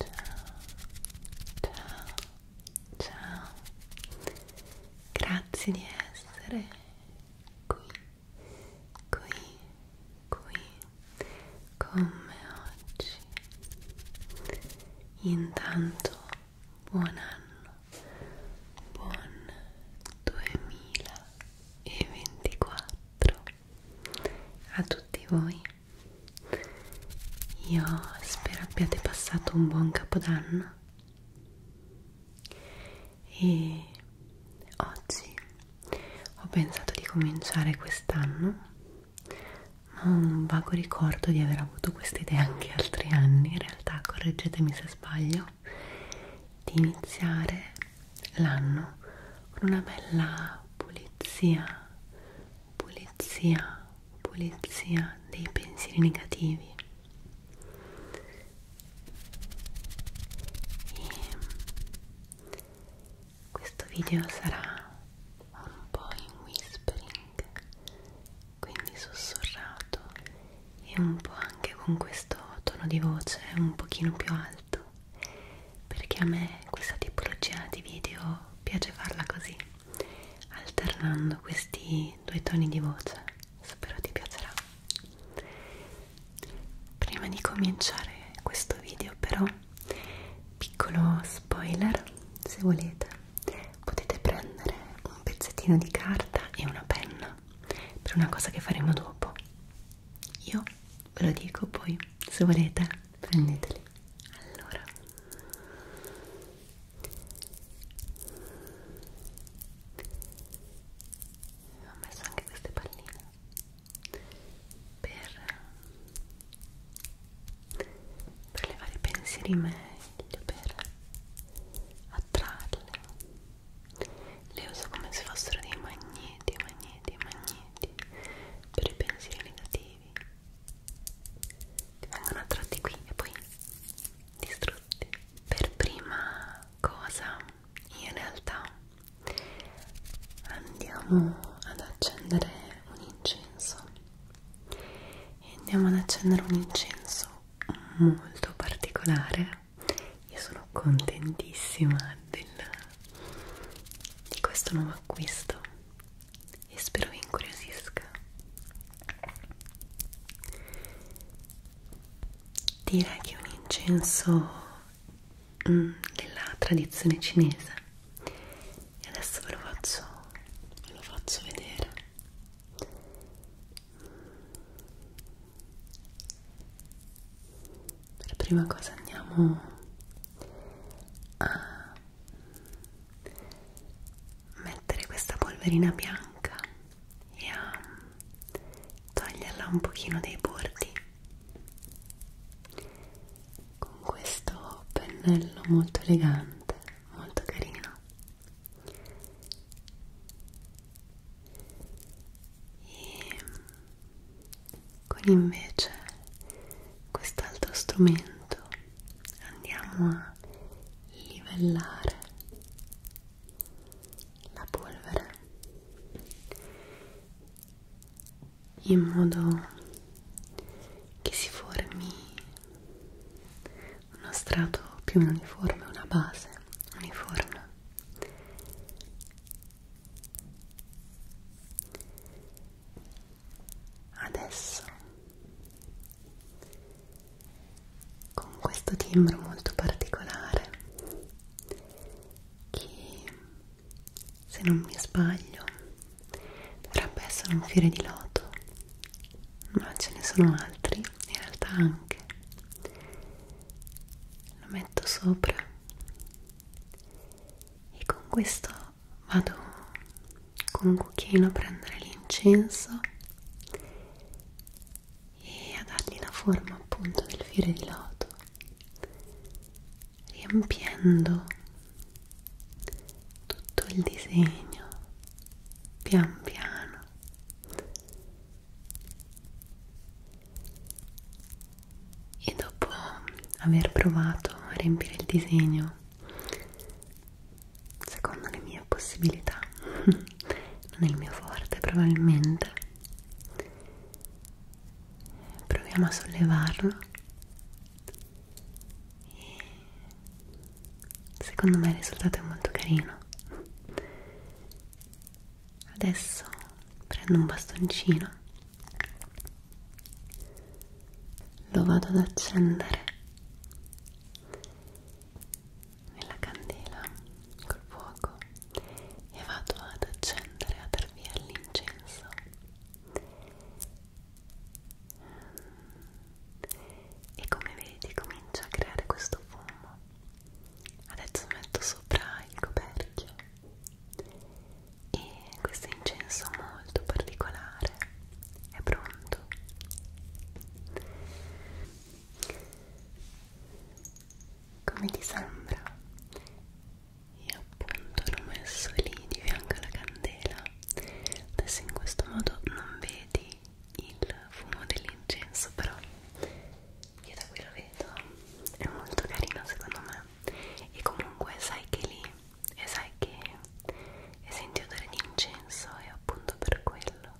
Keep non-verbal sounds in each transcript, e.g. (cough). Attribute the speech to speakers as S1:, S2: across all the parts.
S1: ciao ciao grazie di essere qui qui qui con me oggi intanto buon anno buon 2024 a tutti voi io spero abbiate passato un buon capodanno e oggi ho pensato di cominciare quest'anno ma ho un vago ricordo di aver avuto questa idea anche altri anni in realtà correggetemi se sbaglio di iniziare l'anno con una bella pulizia, pulizia, pulizia dei pensieri negativi. E questo video sarà un po' in whispering, quindi sussurrato e un po' anche con questo tono di voce un pochino più alto perché a me questa tipologia di video piace farla così alternando questi due toni di voce spero ti piacerà prima di cominciare questo video però piccolo spoiler se volete potete prendere un pezzettino di carta e una penna settimana per una cosa che faremo dopo io ve lo dico poi se volete prendeteli allora ho messo anche queste palline per, per levare i pensieri meglio per attrarle le uso come se fossero dei magneti, magneti, magneti per i pensieri negativi. Ti vengono attratti qui e poi distrutti. Per prima cosa, in realtà, andiamo ad accendere un incenso. E andiamo ad accendere un incenso molto particolare io sono contentissima del, di questo nuovo acquisto e spero vi incuriosisca direi che è un incenso mm, della tradizione cinese e adesso ve lo faccio, ve lo faccio vedere per prima cosa andiamo a mettere questa polverina bianca e a toglierla un pochino dai bordi con questo pennello molto elegante, molto carino e con invece quest'altro strumento andiamo a livellare la polvere in modo che si formi uno strato più uniforme, una base uniforme adesso con questo timbro molto particolare che se non mi sbaglio dovrebbe essere un fiore di loto ma ce ne sono altri in realtà anche lo metto sopra e con questo vado con un cucchiaino a prendere l'incenso e a dargli la forma appunto del fiore di loto riempiendo tutto il disegno pian piano e dopo aver provato a riempire il disegno secondo le mie possibilità (laughs) non è il mio forte probabilmente proviamo a sollevarlo e secondo me il risultato è molto carino Adesso prendo un bastoncino, lo vado ad accendere nella candela col fuoco e vado ad accendere, a dar via l'incenso. E come vedi comincia a creare questo fumo adesso metto sopra il coperchio e questo incenso molto particolare è pronto come ti sembra? io appunto l'ho messo lì di fianco alla candela adesso in questo modo non vedi il fumo dell'incenso però io da qui lo vedo è molto carino secondo me e comunque sai che lì e sai che e senti odore di incenso e appunto per quello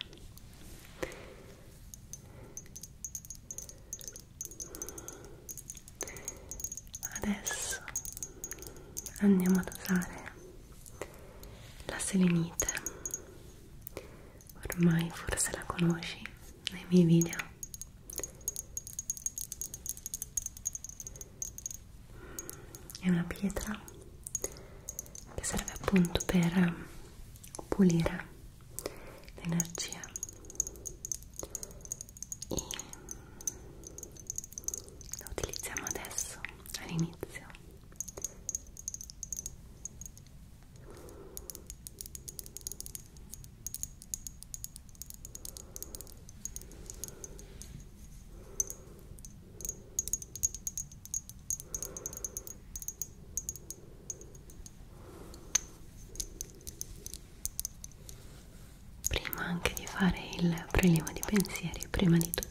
S1: adesso andiamo ad usare la selenite ormai forse la conosci nei miei video è una pietra che serve appunto per pulire l'energia e la utilizziamo adesso all'inizio Prima anche di fare il prelievo di pensieri, prima di tutto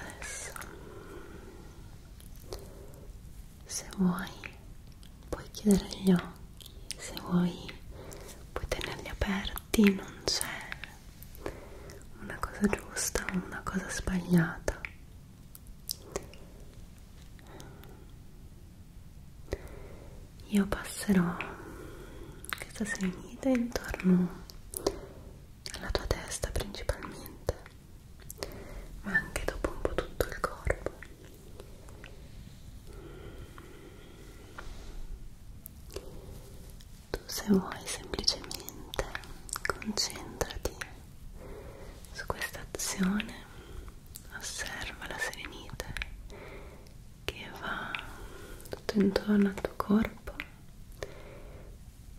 S1: Adesso, se vuoi, puoi chiudere gli occhi, se vuoi, puoi tenerli aperti, non c'è una cosa giusta o una cosa sbagliata io passerò questa serenità intorno alla tua testa principalmente ma anche dopo un po' tutto il corpo tu se vuoi semplicemente concentrati su questa azione, osserva la serenità che va tutto intorno al tuo corpo,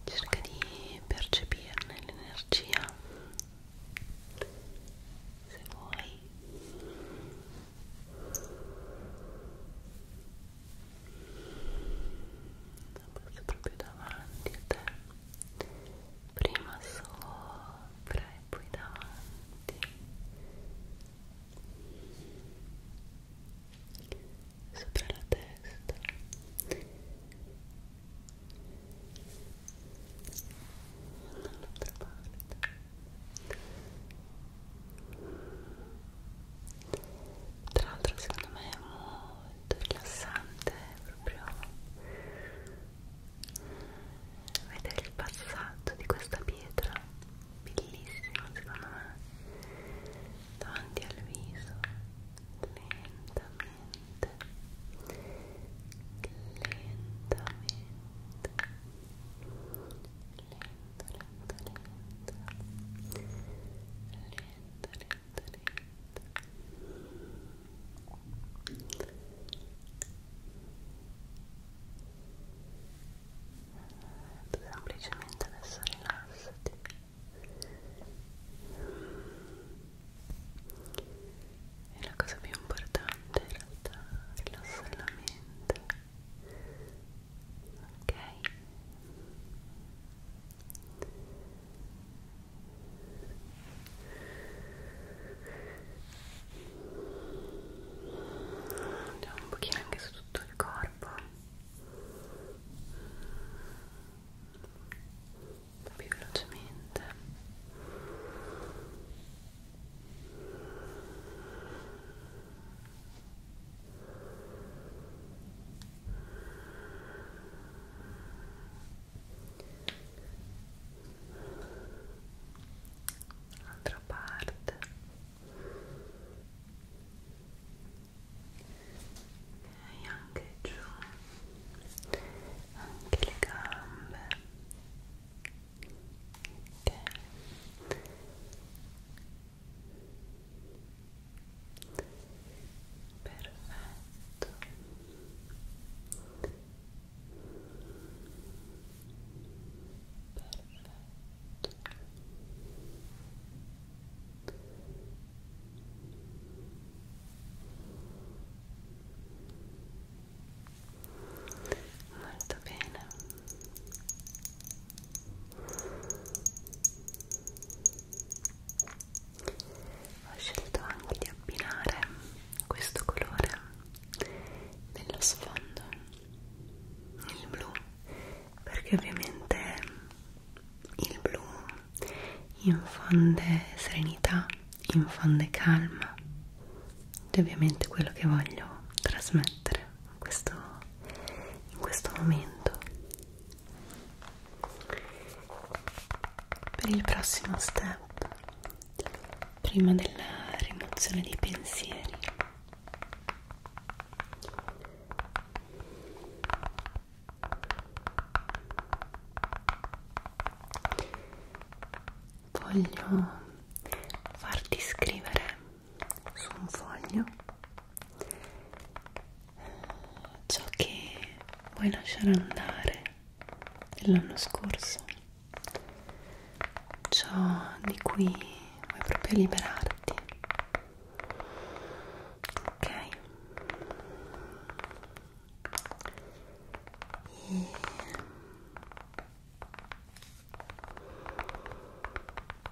S1: cerca di percepirne l'energia se vuoi la passo proprio davanti a te prima sopra e poi davanti sopra la testa dall'altra parte tra l'altro secondo me è molto rilassante proprio vedere il passaggio di questa pietra bellissimo secondo me davanti al viso lentamente lentamente lento, lento, lento lento, lento, lento tu semplicemente adesso rilassati e la cosa più importante in realtà è rilassare la mente ok andiamo un pochino anche su tutto il corpo più velocemente Altra parte e anche giù, anche le gambe. Okay perfetto perfetto molto bene ho scelto anche di abbinare questo colore nello sfondo il blu perché ovviamente il blu infonde serenità infonde calma ed è ovviamente quello che voglio trasmettere in questo, in questo momento per il prossimo step prima della rimozione dei pensieri voglio farti scrivere su un foglio ciò che vuoi lasciare andare dell'anno scorso ciò di cui vuoi proprio liberarti ok e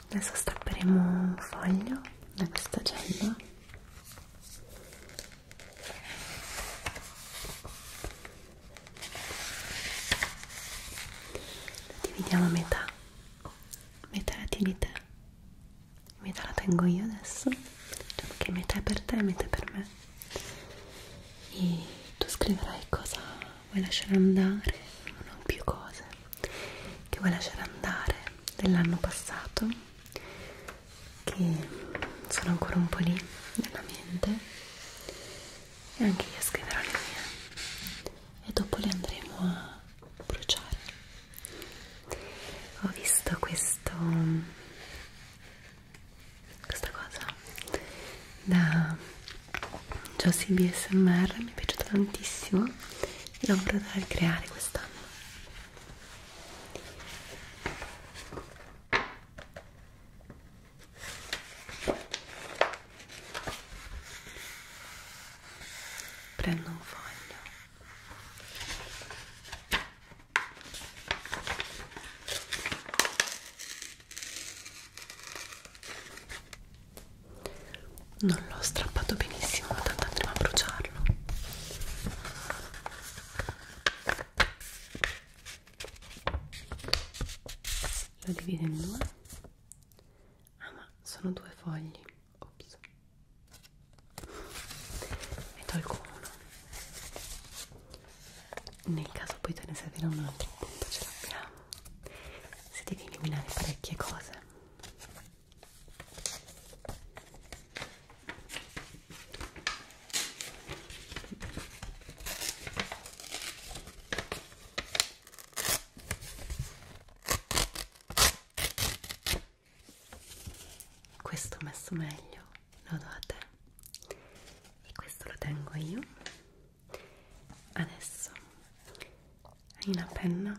S1: adesso stapperemo un foglio da questa gella la dividiamo a metà metà la tieni te metà la tengo io adesso diciamo che metà è per te e metà è per me e tu scriverai cosa vuoi lasciare andare, non ho più cose che vuoi lasciare andare dell'anno passato, che sono ancora un po' lì nella mente e anche io scriverò le mie e dopo le andremo a bruciare. Ho visto questo questa cosa da Josie BSMR mi è piaciuto tantissimo e l'ho voluta ricreare quest'anno prendo un foglio non l'ho strappato benissimo ma tanto andremo a bruciarlo lo divido in due ah ma sono due fogli ops e tolgo uno nel caso poi te ne servirà un altro appunto ce l'abbiamo se devi eliminare parecchie cose questo ho messo meglio lo do a te e questo lo tengo io adesso hai una penna?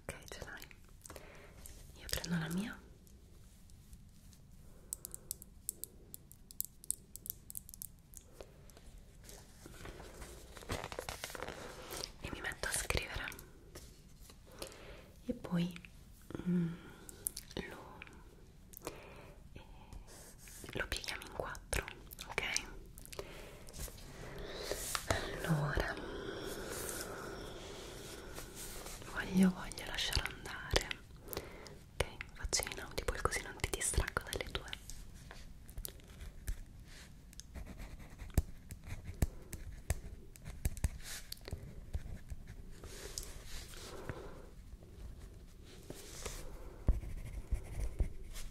S1: ok ce l'hai io prendo la mia e mi metto a scrivere e poi mm, lo, eh, lo pieghiamo in quattro ok? Allora voglio, voglio lasciare andare, ok? Faccio in audio poi così non ti distraggo dalle tue. Ok,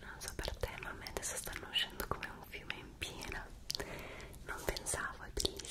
S1: Não so per te ma a me adesso stanno uscendo come un fiume em piena Não pensavo, è bellissimo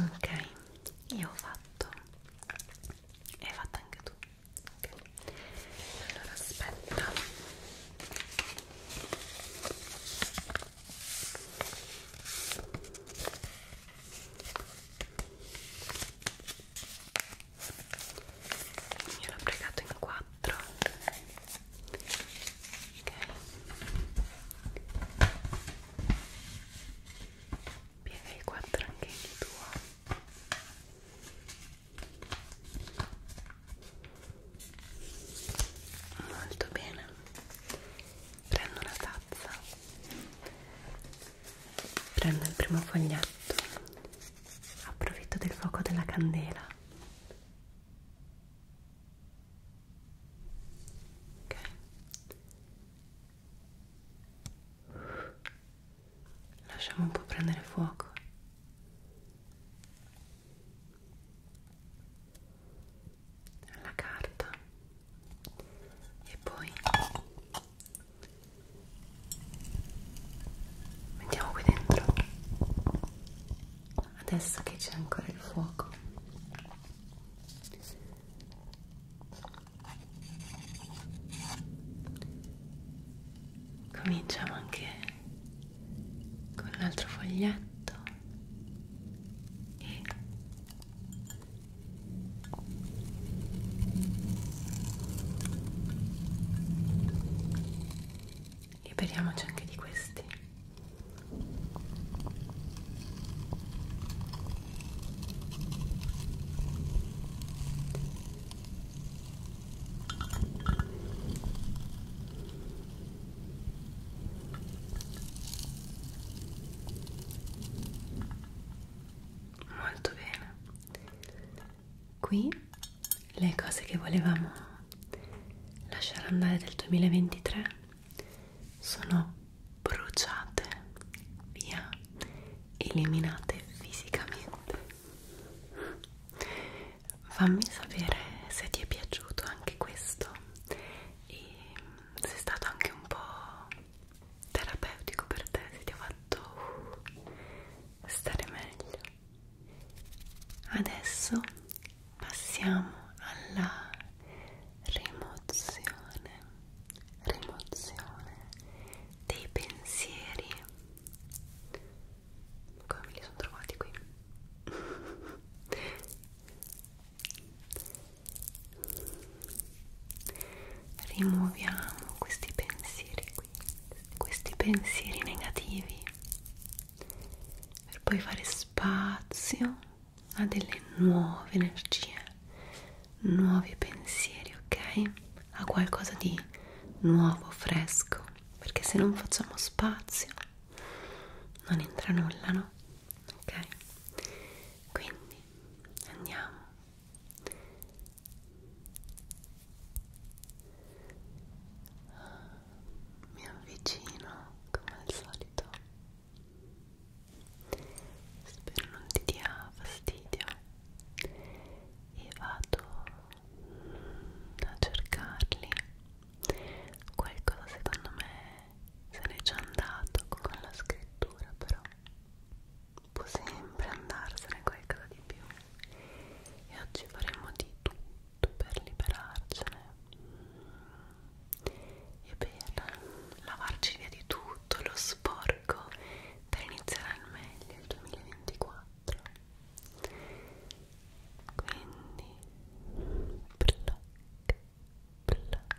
S1: ok io ho fatto e hai fatto anche tu okay. allora aspetta mi ero pregato in quattro ok piega i quattro anche il tuo molto bene prendo una tazza prendo il primo foglietto approfitto del fuoco della candela ok lasciamo un po' prendere fuoco la carta e poi mettiamo qui dentro adesso che c'è ancora il fuoco cominciamo anche con l'altro foglietto e Liberiamoci anche di questi. Molto bene qui le cose che volevamo lasciare andare del 2023 sono bruciate via eliminate fisicamente fammi sapere se ti è piaciuto anche questo e se è stato anche un po' terapeutico per te, se ti ha fatto uh, stare meglio. Adesso passiamo alla rimozione, rimozione dei pensieri. Come me li sono trovati qui? (laughs) rimuoviamo questi pensieri qui, questi pensieri negativi per poi fare spazio a delle nuove energie, nuovi pensieri, ok? A qualcosa di nuovo, fresco, perché se non facciamo spazio non entra nulla, no? Ok? Quindi andiamo mi avvicino come al solito spero non ti dia fastidio e vado a cercarli qualcosa secondo me se n'è già andato con la scrittura però può sempre andarsene qualcosa di più e oggi faremo di tutto per liberarcene e per lavarci via di tutto lo sporco per iniziare al meglio il 2024 quindi pluck pluck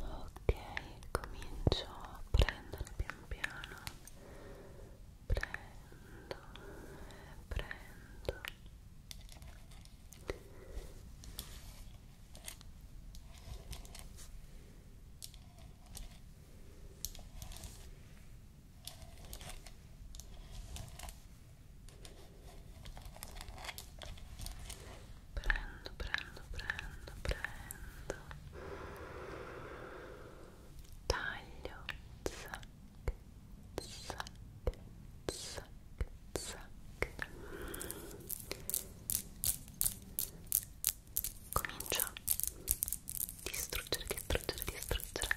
S1: ok comincio a prendere pian piano prendo prendo ok prendo, prendo, prendo, prendo taglio zac, zac, zac, zac comincio a distruggere, distruggere, distruggere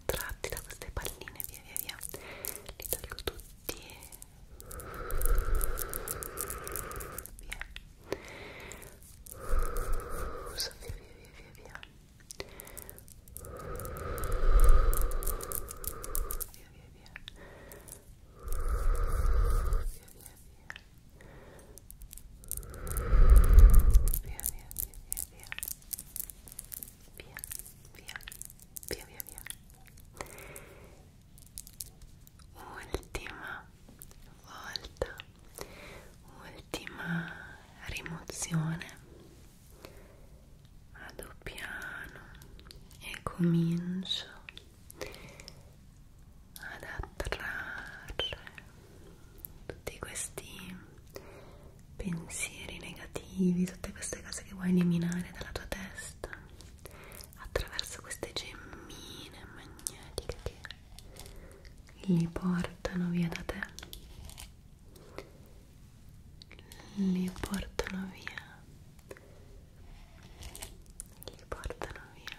S1: tratti da queste palline via via via li taglio tutti e via soffio via via via via via via via via via via Via, via, via, via, via, via, via, via via via ultima volta ultima rimozione vado piano e comincio ad attrarre tutti questi pensieri negativi, tutte queste cose che vuoi eliminare dalla tua testa attraverso queste gemmine magnetiche che li portano via da te li portano via li portano via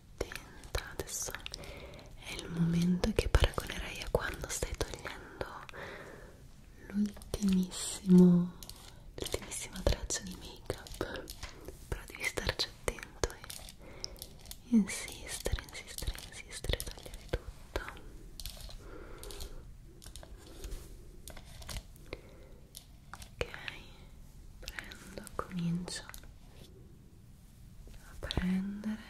S1: attenta adesso è il momento che paragonerei a quando stai togliendo l'ultimissimo l'ultimissima traccia di make up però devi starci attento e insistere insistere insistere togliere tutto ok prendo comincio a prendere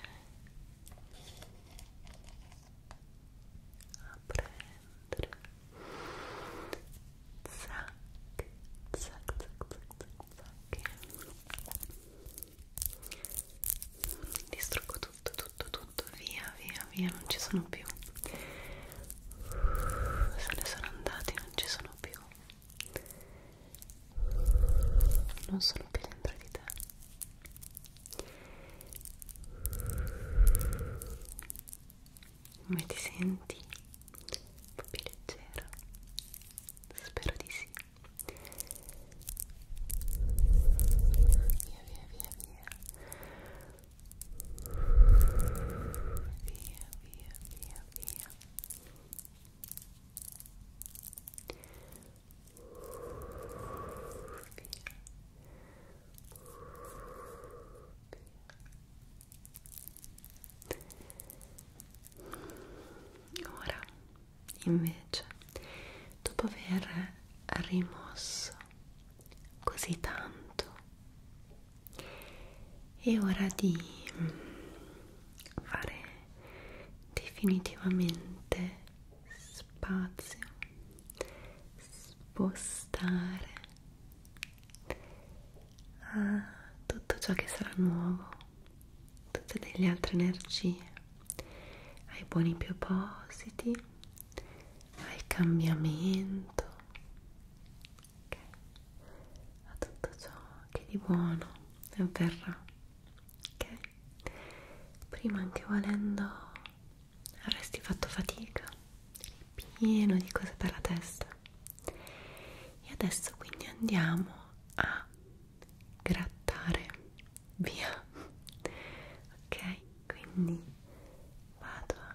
S1: a prendere zac zac zac zac zac distruggo tutto tutto tutto via via via non ci sono più se ne sono andati non ci sono più non sono più dentro di te come ti senti? un po' più leggera? spero di sì via via via via via via via via Ora invece, dopo aver rimosso così tanto è ora di mm, fare definitivamente spazio spostare a tutto ciò che sarà nuovo tutte delle altre energie ai buoni propositi al cambiamento ok a tutto ciò che di buono avverrà ok prima anche volendo avresti fatto fatica pieno di cose per la testa e adesso quindi andiamo a grattare via ok quindi vado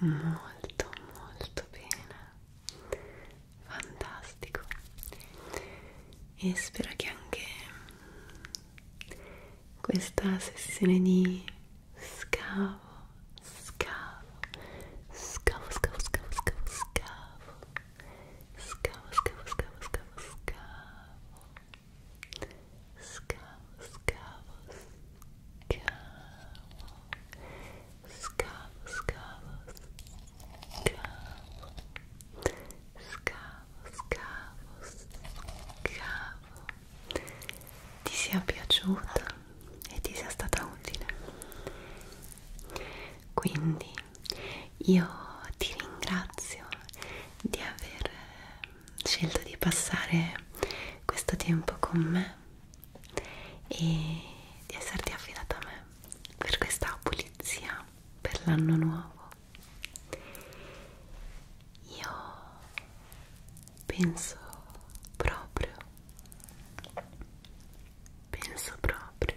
S1: molto molto bene fantastico e spero che anche questa sessione di scavo scavo scavo scavo scavo scavo scavo scavo scavo scavo scavo scavo scavo, scavo, scavo, scavo, scavo, scavo, scavo, scavo, scavo, ti sia piaciuta e ti sia stata utile. Quindi io ti ringrazio di aver scelto di passare questo tempo con me e di esserti affidata a me per questa pulizia per l'anno nuovo io penso proprio penso proprio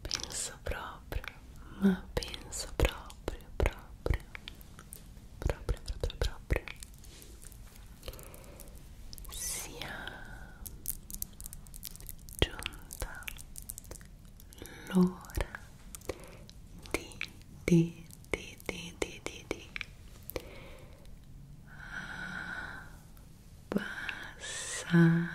S1: penso proprio, ma penso proprio, proprio, proprio, proprio, proprio, sia giunta l'ora di, di, di, di, di, di, di passare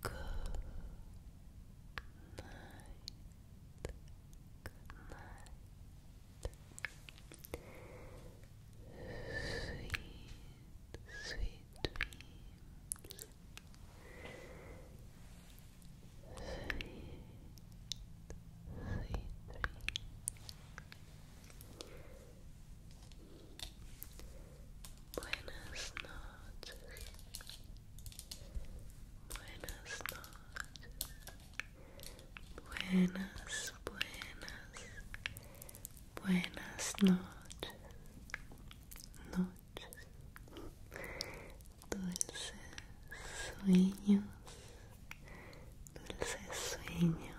S1: Good night. night. Sweet, sweet dreams. Sweet, sweet dreams. Buenas noches. Buenas noches. Buenas, buenas. Buenas noches. Noches. Dulces sueños. Dulces sueños.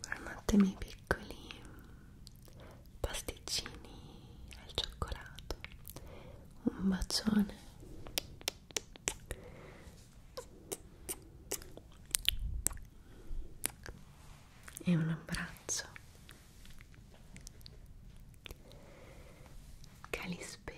S1: Buonanotte miei piccoli pasticcini al cioccolato. Un bacione. E un abbraccio. Calispera.